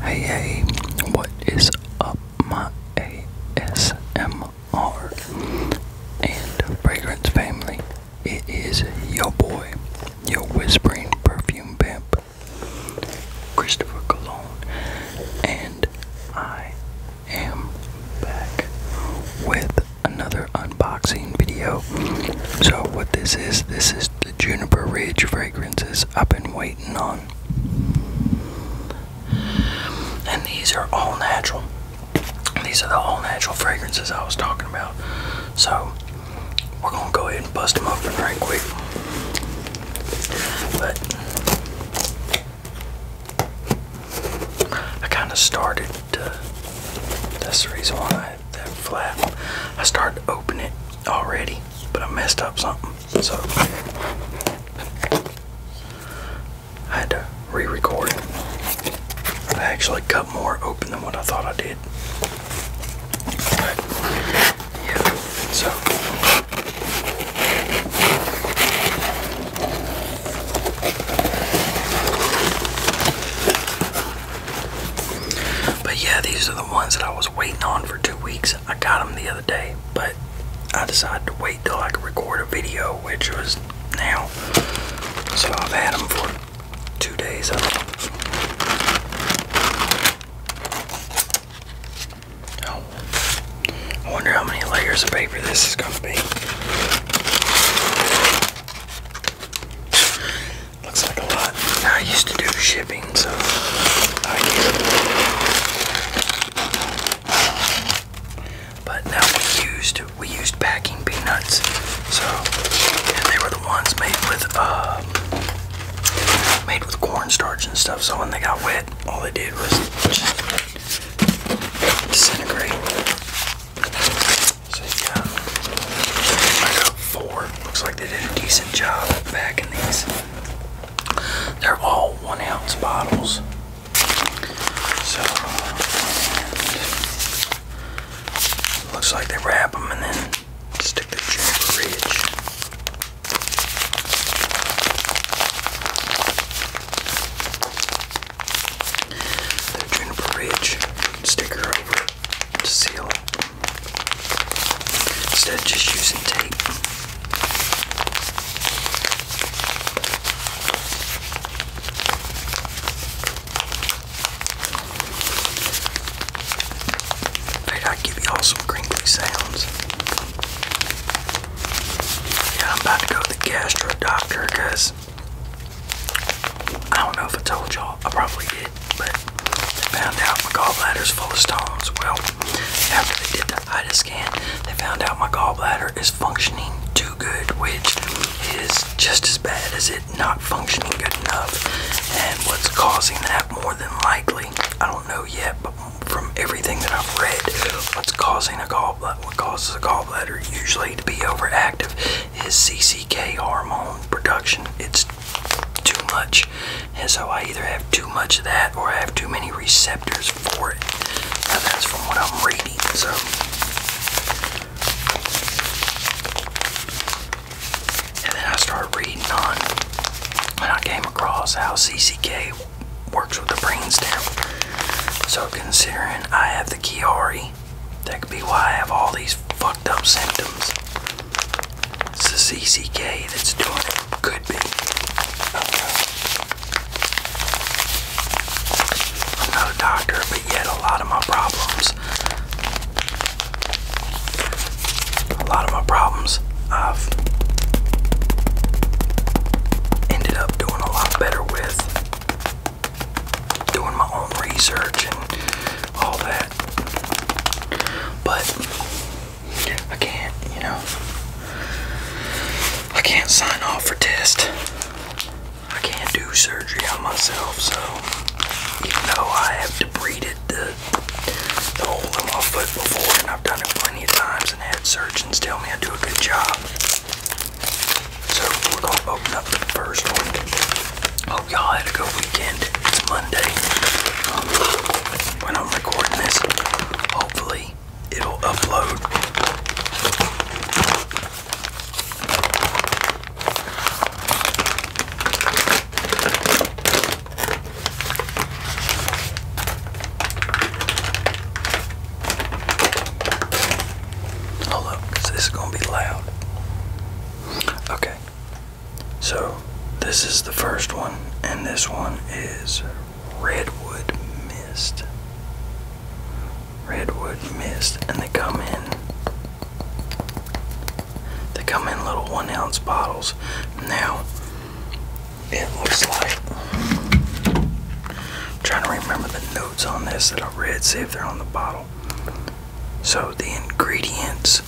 Hey, hey, what is up, my ASMR and fragrance family? It is your boy, your whispering perfume pimp, Christopher Cologne, and I am back with another unboxing video. So, what this is, this is the Juniper Ridge fragrances I've been waiting on. And these are all natural. These are the all natural fragrances I was talking about. So we're gonna go ahead and bust them open right quick. But I kind of started That's the reason why that, flap. I started to open it already, but I messed up something. So I had to re-record it. I actually cut more open than what I thought I did. yeah, so but yeah, these are the ones that I was waiting on for two weeks. I got them the other day, but I decided to wait till I could record a video, which was now. So I've had them for two days. Oh, I wonder how many layers of paper this is going to be. Looks like a lot. I used to do shipping, so I But now we used we used packing peanuts, so and they were the ones made with uh, made with cornstarch and stuff. So when they got wet, all they did was just disintegrate. So yeah, I got four. Looks like they did a decent job of packing these. They're all one ounce bottles. So, uh, looks like they wrap them and then stick the juniper ridge. The juniper ridge sticker over to seal Instead of just using tape. I i give you all some crinkly sounds. Yeah, I'm about to go to the gastro doctor I don't know if I told y'all. I probably did but they found out my gallbladder's full of stones. Well, after they did the HIDA scan, they found out my gallbladder is functioning too good, which is just as bad as it not functioning good enough. And what's causing that more than likely, I don't know yet, but from everything that I've read, what's causing a gallbladder, what causes a gallbladder usually to be overactive is CCK hormone production. It's too much. And so I either have too much of that or I have too many receptors for it. Now that's from what I'm reading, so. And then I start reading on and I came across how CCK works with the brainstem. So considering I have the Chiari, that could be why I have all these fucked up symptoms. It's the CCK that's doing it. Could be. not a doctor, but yet a lot of my problems. A lot of my problems I've ended up doing a lot better with doing my own research and all that. But I can't, you know, I can't sign off for test. I can't do surgery on myself, so even though I have debrided the, the hole in my foot before and I've done it plenty of times and had surgeons tell me I do a good job. So we're gonna open up the first one y'all had a good weekend. It's Monday um, I'm recording this. Hopefully, it'll upload. Oh look, this is gonna be loud. Okay. So, this is the first one, and this one is Redwood Mist. Redwood Mist, and they come in. They come in little one ounce bottles. Now, it looks like. trying to remember the notes on this that I read, see if they're on the bottle. So, the ingredients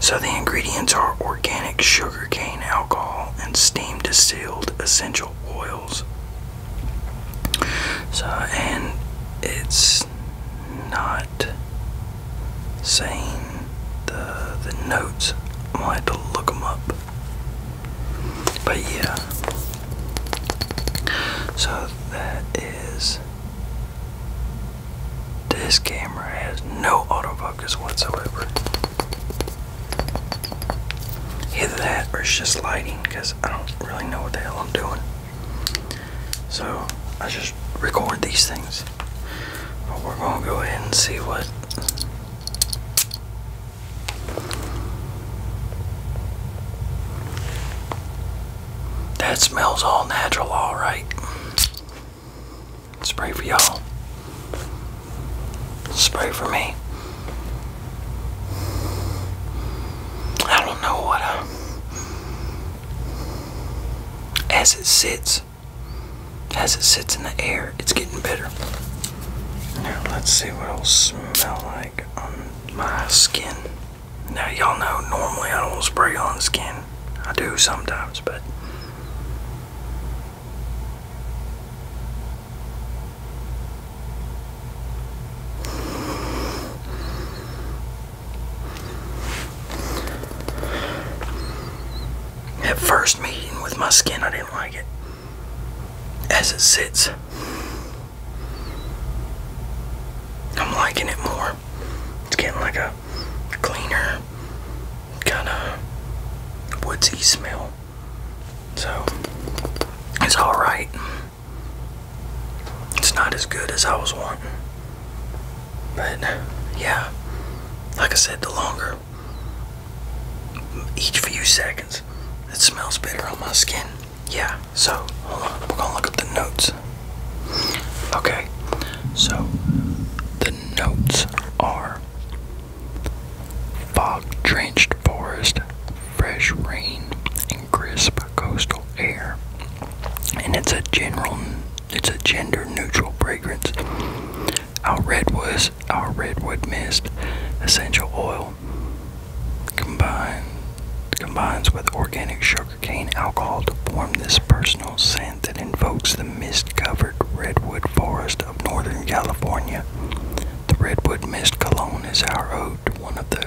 so the ingredients are organic sugarcane alcohol and steam distilled essential oils. So and it's not saying the the notes. I'm going to look them up. But yeah. So that is. This camera has no autofocus whatsoever. Either that or it's just lighting because I don't really know what the hell I'm doing. So I just record these things. But we're going to go ahead and see what. That smells all natural, alright. Spray for y'all. Spray for me. I don't know what uh, as it sits, as it sits in the air, it's getting better. Now let's see what it'll smell like on my skin. Now, y'all know normally I don't spray on skin. I do sometimes, but. At first meeting with my skin, I didn't like it. As it sits, I'm liking it more. It's getting like a cleaner, kind of woodsy smell. So, it's alright. It's not as good as I was wanting. But, yeah. Like I said, the longer each few seconds it smells better on my skin. Yeah. So, we're gonna look at the notes. Okay, so the notes are fog drenched forest, fresh rain, and crisp coastal air. And it's a general, it's a gender neutral fragrance. Our redwoods, our redwood mist, essential oil combined combines with organic sugar sugarcane alcohol to form this personal scent that invokes the mist covered redwood forest of northern California. The redwood mist cologne is our ode to one of the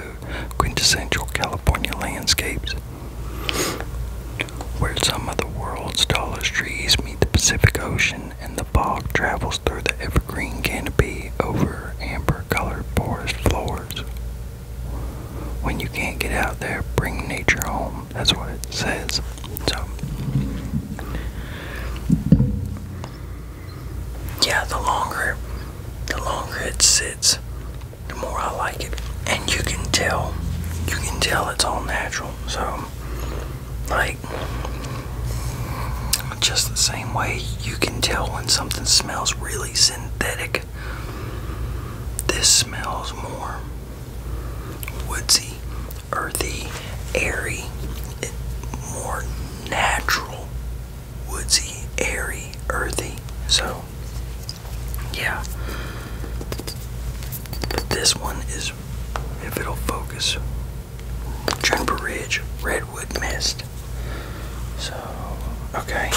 quintessential California landscapes. Where some of the world's tallest trees meet the Pacific Ocean and the fog travels through the evergreen canopy over amber colored forest floors. When you can't get out there, bring nature home. That's what it says. So, yeah, the longer, the longer it sits, the more I like it. And you can tell, you can tell it's all natural. So, like, just the same way you can tell when something smells really synthetic this smells more woodsy, earthy, airy, more natural, woodsy, airy, earthy. So, yeah. this one is, if it'll focus, Juniper Ridge Redwood Mist. So, okay.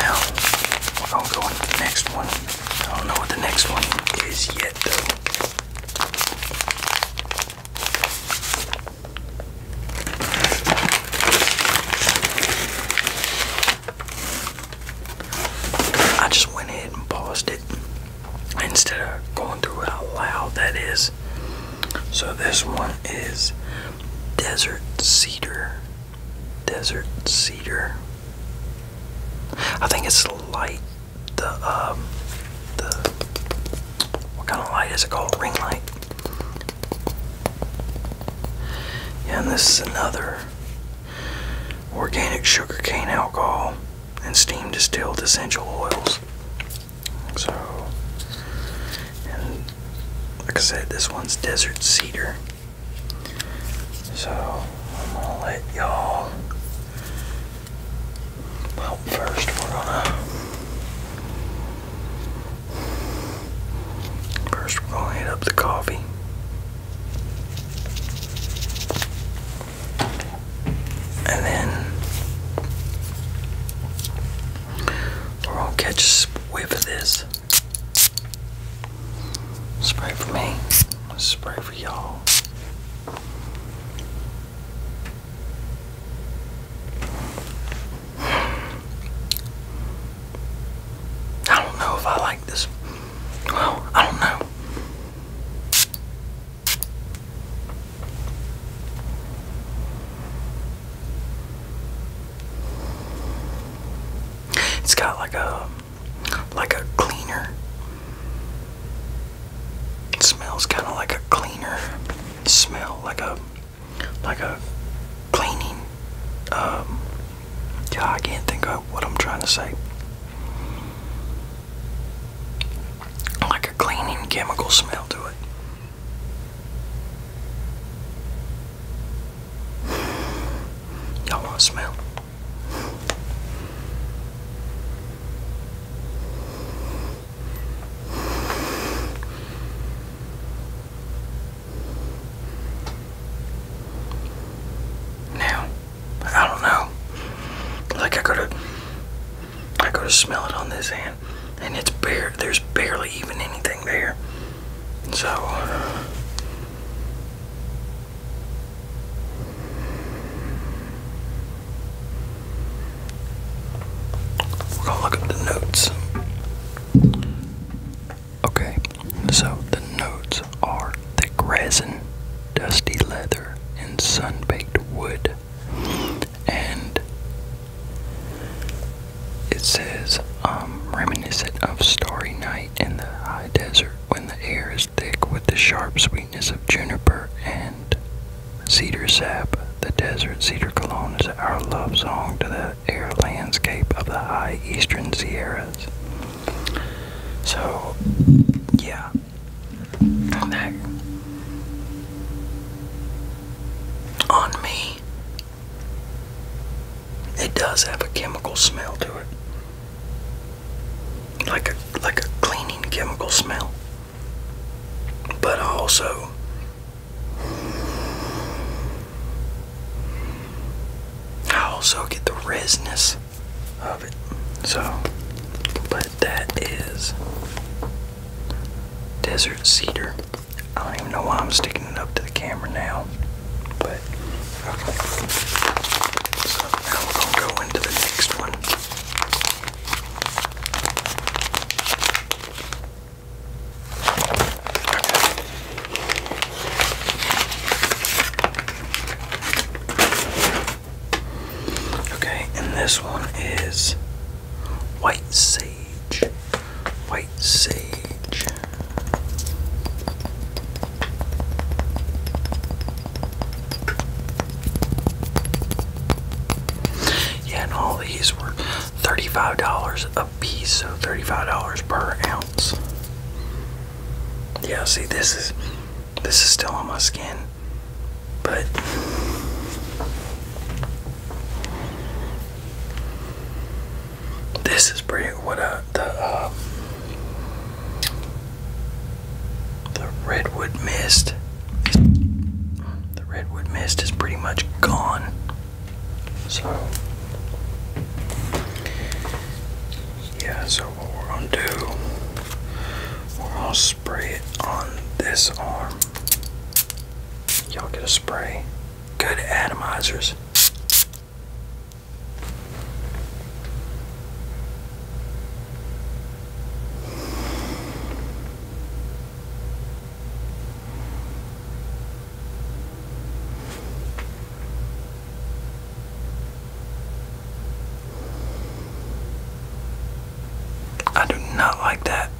Now, we're going to go on the next one. I don't know what the next one is yet, though. I just went ahead and paused it instead of going through it out loud, that is. So, this one is Desert cedar. Desert cedar. I think it's light. The um, the what kind of light is it called? Ring light. Yeah, and this is another organic sugarcane alcohol and steam distilled essential oils. So and like I said, this one's desert cedar. So I'm gonna let y'all. Well, first we're gonna. First we're gonna heat up the coffee. And then we're gonna catch a whiff of this. Spray for me. Spray for y'all. I don't know if I like this. Well, I don't know. It's got like a like a cleaner. It smells kind of like a cleaner smell, like a like a cleaning. Um, yeah, I can't think of what I'm trying to say. Like a cleaning chemical smell to it. Y'all want to smell? Now, I don't know. Like I gotta, I gotta smell it on this hand, and it's bare. There's barely even anything there. So, we're gonna look at the notes. Okay, so the notes are thick resin, dusty leather, and sun baked wood. And it says, um, reminiscent of starry night in the high desert when the air is thick with the sharp sweetness of juniper and cedar sap. The desert cedar cologne is our love song to the air landscape of the high eastern Sierras. So, yeah. That on me it does have a chemical smell to it. Like a like a cleaning chemical smell. But also I also get the resinous of it. So but that is desert cedar. I don't even know why I'm sticking it up to the camera now, but okay. So now we're gonna go into the next one. Okay, and this one is White Sea white sage. Yeah, and all these were $35 a piece, so $35 per ounce. Yeah, see this is this is still on my skin. But this is pretty. What uh, the um, the redwood mist. The redwood mist is pretty much gone. So yeah. So what we're gonna do? We're gonna spray it on this arm. Y'all get a spray good atomizers. I do not like that.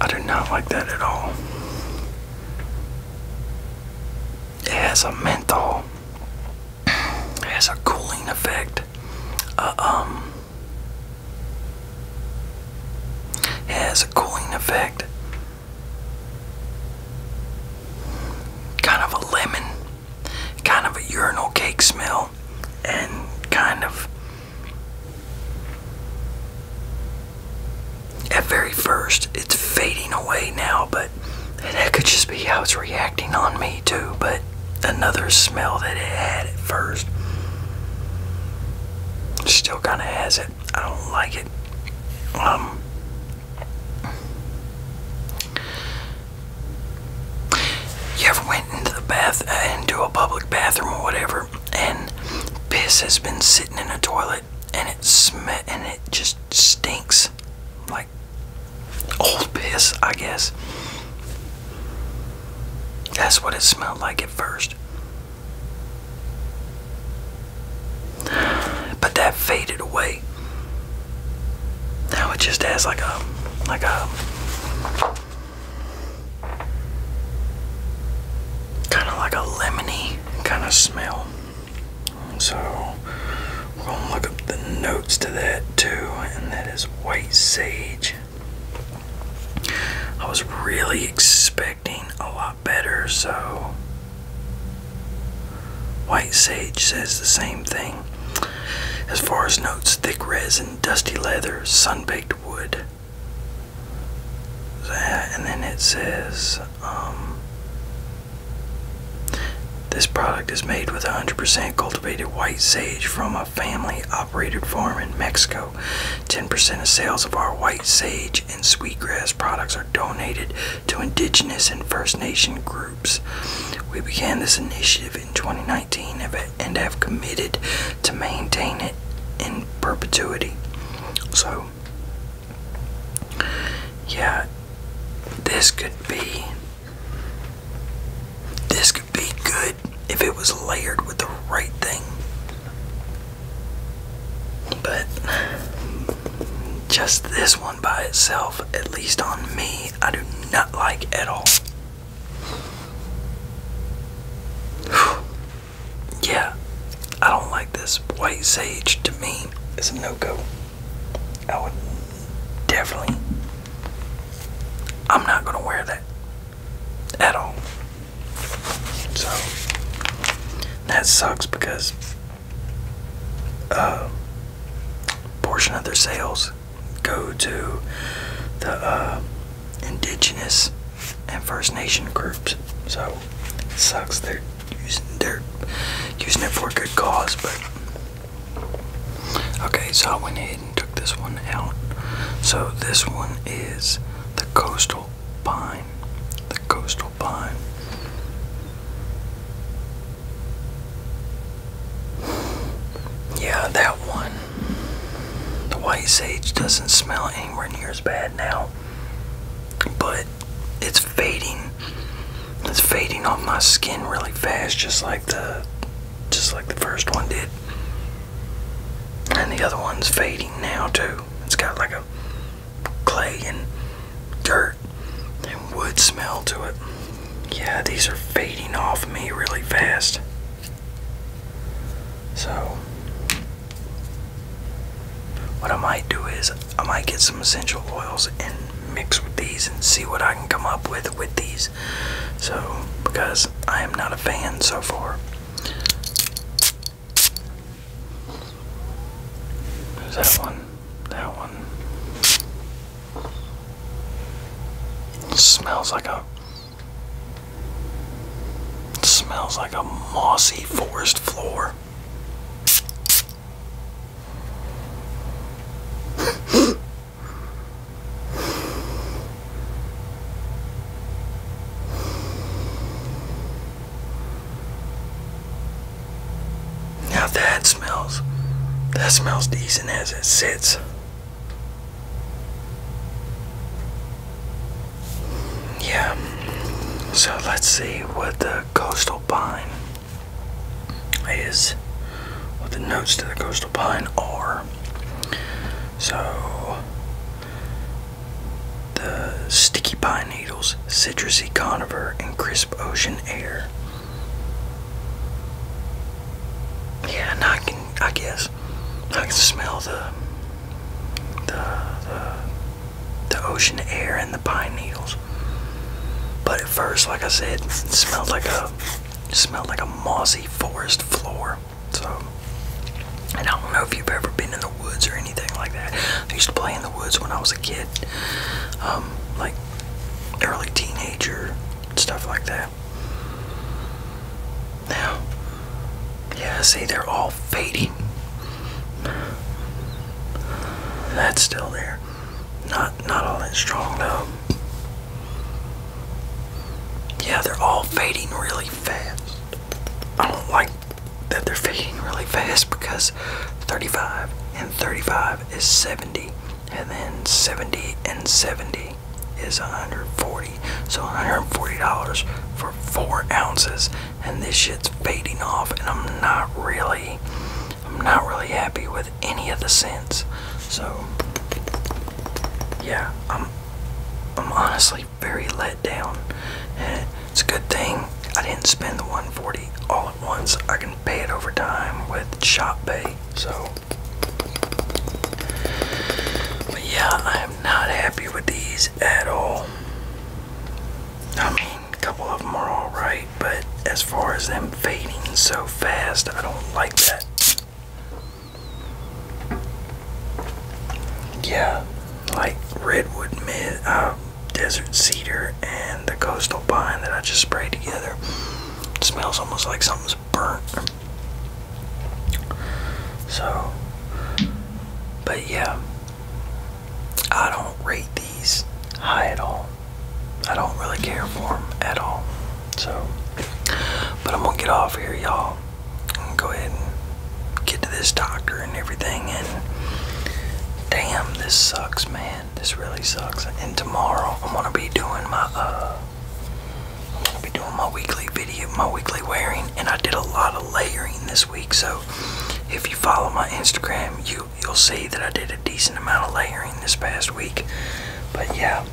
I do not like that at all. It has a menthol. It has a cooling effect. Uh, um, it has a cooling effect. Kind of a lemon kind of a urinal cake smell and kind of at very first it's fading away now but that could just be how it's reacting on me too but another smell that it had at first still kind of has it i don't like it um you ever went into the bath, uh, into a public bathroom or whatever, and piss has been sitting in a toilet, and it sm and it just stinks like old piss, I guess. That's what it smelled like at first. But that faded away. Now it just has like a like a kind of like a lemony kind of smell. So we're going to look up the notes to that too, and that is white sage. I was really expecting a lot better, so white sage says the same thing. As far as notes, thick resin, dusty leather, sun-baked wood. and then it says, um, this product is made with 100% cultivated white sage from a family-operated farm in Mexico. 10% of sales of our white sage and sweetgrass products are donated to indigenous and First Nation groups. We began this initiative in 2019 and have committed to maintain it in perpetuity. So, yeah, this could be. This could be good if it was layered with the right thing. But just this one by itself, at least on me, I do not like at all yeah, I don't like this. White sage to me it's a no go. I would definitely. I'm not gonna wear that at all. So that sucks because a uh, portion of their sales go to the uh, indigenous and First Nation groups. So it sucks they're using it for a good cause, but okay. So I went ahead and took this one out. So this one is the coastal pine. The coastal pine. Yeah, that one. The white sage doesn't smell anywhere near as bad now. But it's fading. It's fading off my skin really fast just like the just like the first one did. And the other one's fading now too. It's got like a clay and dirt and wood smell to it. Yeah, these are fading off me really fast. So, what I might do is I might get some essential oils and mix with these and see what I can come up with with these. So, because I am not a fan so far. There's that one, that one. smells like a it smells like a mossy forest floor. Now that smells, that smells decent as it sits. Yeah, so let's see what the coastal pine is, what the notes to the coastal pine are. So, the sticky pine needles, citrusy conifer, and crisp ocean air. Yeah, I can, I guess, I can smell the, the, the, ocean air and the pine needles. But at first, like I said, it smelled like a, smelled like a mossy forest floor. So, I don't know if you've ever been in the woods or anything like that. I used to play in the woods when I was a kid, um, like early teenager, stuff like that there. Now, yeah, see, they're all fading. That's still there. Not, not all that strong though. Yeah, they're all fading really fast. I don't like that they're fading really fast because 35 and 35 is 70, and then 70 and 70 is 140 so 140 dollars for four ounces and this shit's fading off and i'm not really i'm not really happy with any of the scents so yeah i'm i'm honestly very let down and it's a good thing i didn't spend the 140 all at once i can pay it over time with shop pay so but yeah, I'm not happy with these at all. I mean, a couple of them are alright, but as far as them fading so fast, I don't like that. Yeah, like redwood mid, uh, desert cedar, and the coastal pine that I just sprayed together. smells almost like something it's So, but yeah, I don't rate these high at all. I don't really care for them at all. So, but I'm gonna get off here, y'all. Go ahead and get to this doctor and everything. And damn, this sucks, man. This really sucks. And tomorrow I'm gonna be doing my uh I'm gonna be doing my weekly video, my weekly wearing, and I did a lot of layering this week. So if you follow my Instagram, you you'll see that I did a decent amount of layering this past week. But yeah,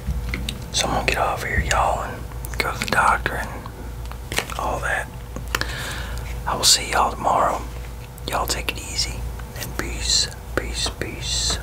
so I'm gonna get off here, y'all, and go to the doctor and all that. I will see y'all tomorrow. Y'all take it easy and peace, peace, peace.